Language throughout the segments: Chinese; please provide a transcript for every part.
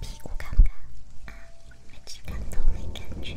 屁股尴尬啊，每次看都没感觉。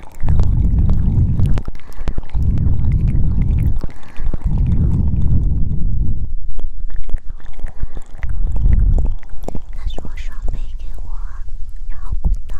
他说：“双倍给我，然后滚到啦。”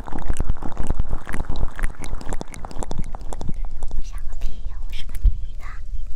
想个屁呀！我是个女的。我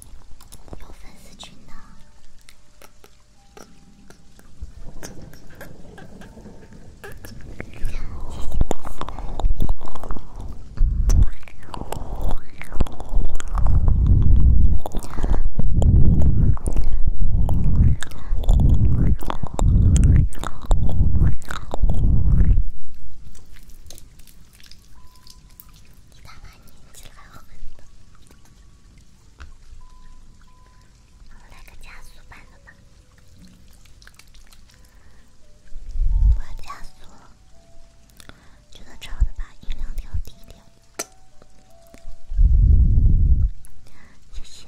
有粉丝群的。一大年纪了，还喝！来个加速版的吧，我要加速了。觉得吵的，把音量调低点。谢谢。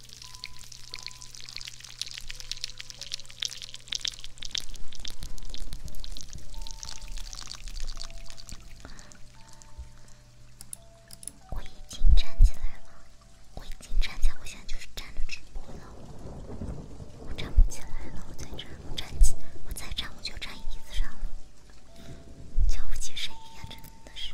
我已经站起来了，我已经站起来了，我现在就是站着直播了。我站不起来了，我在这我站起，我再站我就站椅子上了。瞧不起谁呀？真的是。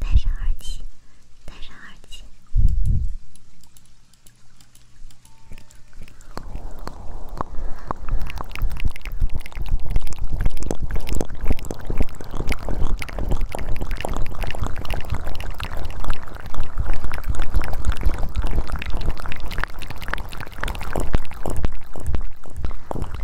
戴上耳机，戴上耳机。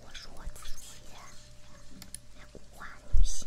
我是我自己，古华女性。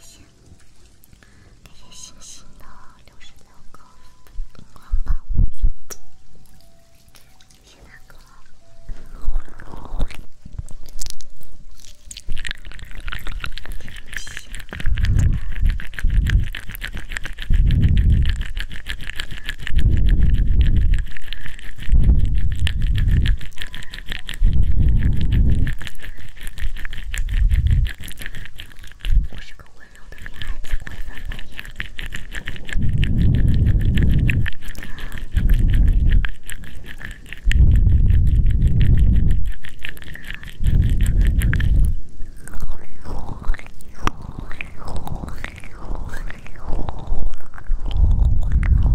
谢谢，谢谢星星的六十六个光棒谢谢，谢谢我是个温柔的女孩子，会温柔一点。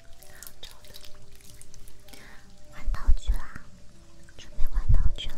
杭州的，玩套局啦，准备玩套局了。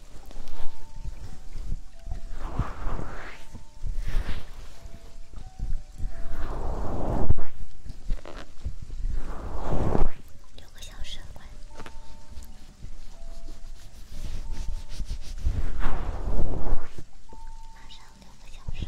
六个小时快，马上六个小时。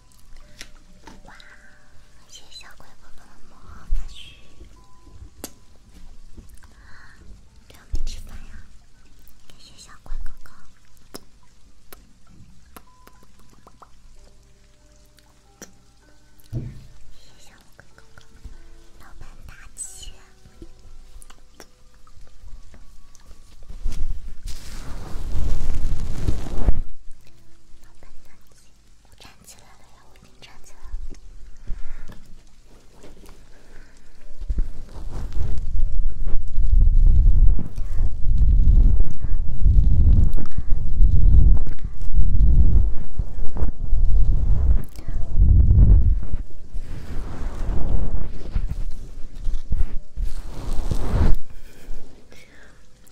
哇！谢谢小鬼哥哥的魔法须，对，我没吃饭呀。谢谢小鬼哥哥，谢谢小鬼哥哥，老板大姐。老板娘，我站起来了呀！我已经站起来了。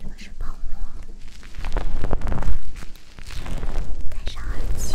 这个是泡沫，戴上耳机。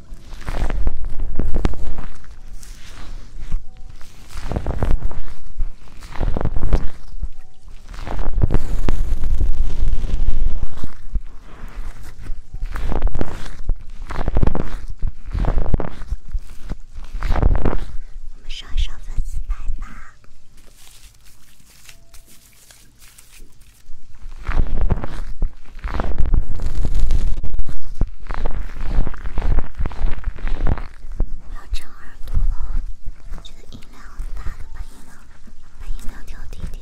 我们上一上粉丝牌吧。我要长耳朵了，觉得音量很大，都把音量把音量调低点。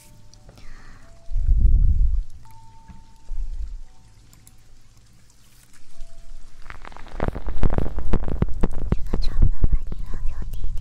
觉得差不多吧，音量调低一点。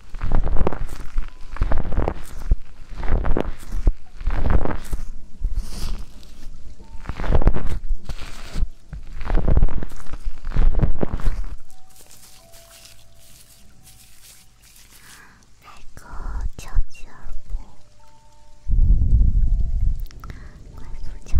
来个敲击耳部，快速敲完。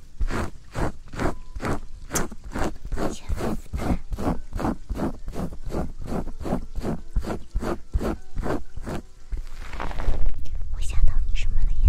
我想到你什么了呀？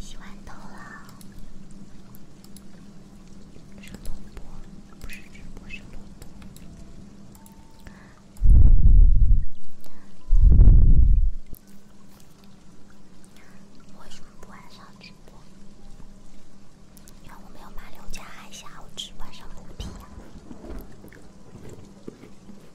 洗完头了，是录播，不是直播，是录播。为什么不晚上直播？因为我没有骂刘家海侠，我只晚上补 P。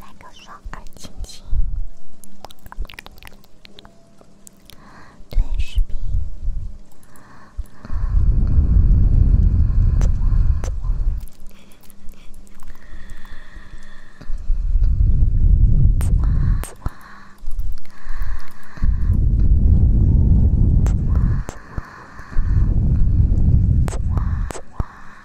来个双耳亲亲。对视频。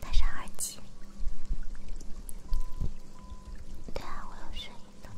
带上耳机。对啊，我有声音的。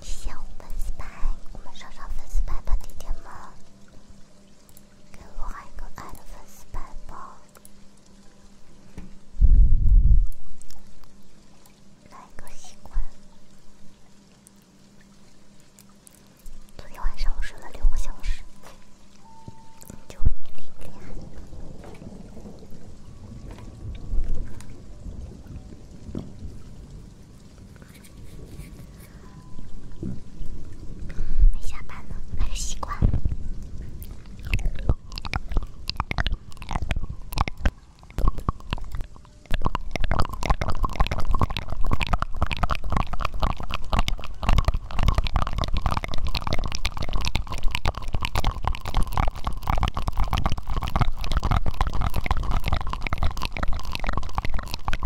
小粉丝牌，我们上上粉丝牌吧，弟弟们。给我开个阿尔法斯背包，开个机关。昨天晚上我睡了六个小时，就问你累不没下班呢，来个西瓜。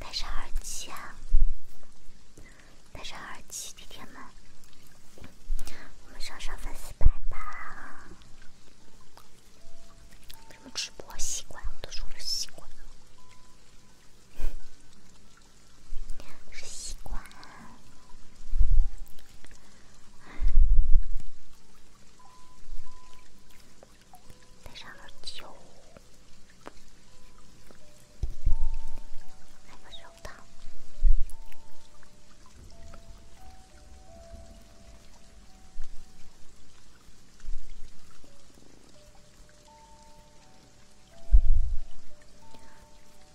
戴上耳机，啊，戴上耳机，弟弟们，我们上上粉丝牌吧！我们直播习惯我都说了习惯是西瓜，再上点酒，来个手套。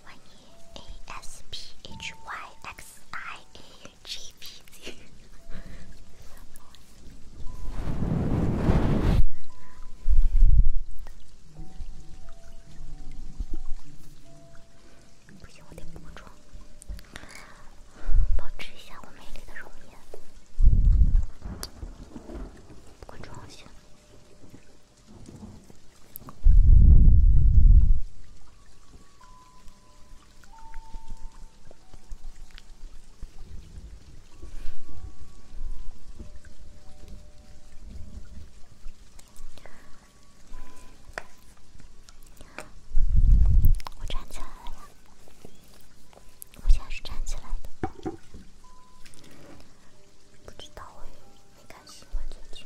万叶 H S P H Y X I A G P Z，不行，我得补个妆，保持一下我美丽的容颜，补个妆先。我站起来了呀！我现在是站起来的，不知道哎。没看新闻最近。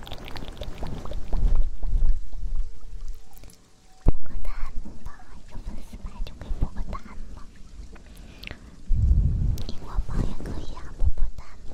破个蛋吗？一个粉丝来就可以破个蛋吗？苹果包也可以啊，破破蛋吗？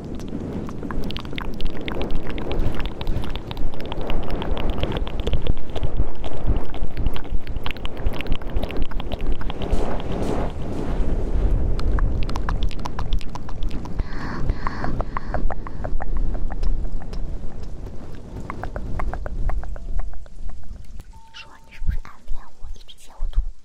你说你是不是暗恋我？一直截我图。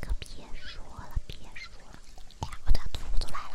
可别说了，别说了！哎呀，我对，吐来了。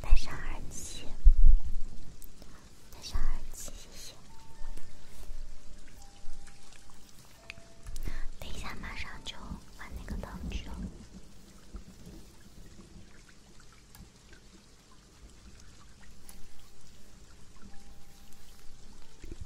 戴上耳机，戴上耳机，谢谢。等一下，马上就玩那个道具了。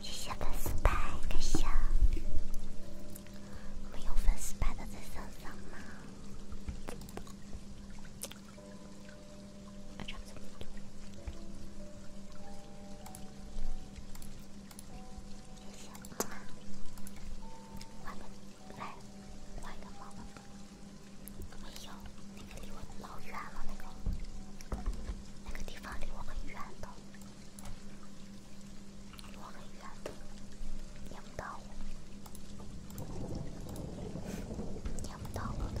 谢谢粉丝牌，感谢。们有粉丝牌的在上上吗？谢谢。画个，来画一个猫吧。没有，那个离我老远了，那个，那个地方离我很远的，离我很远的，念不到我，念不到了的。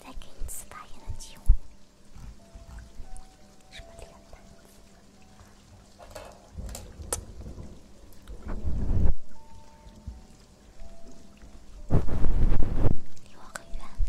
再给你次发言的机会。什么脸蛋？离我很远的。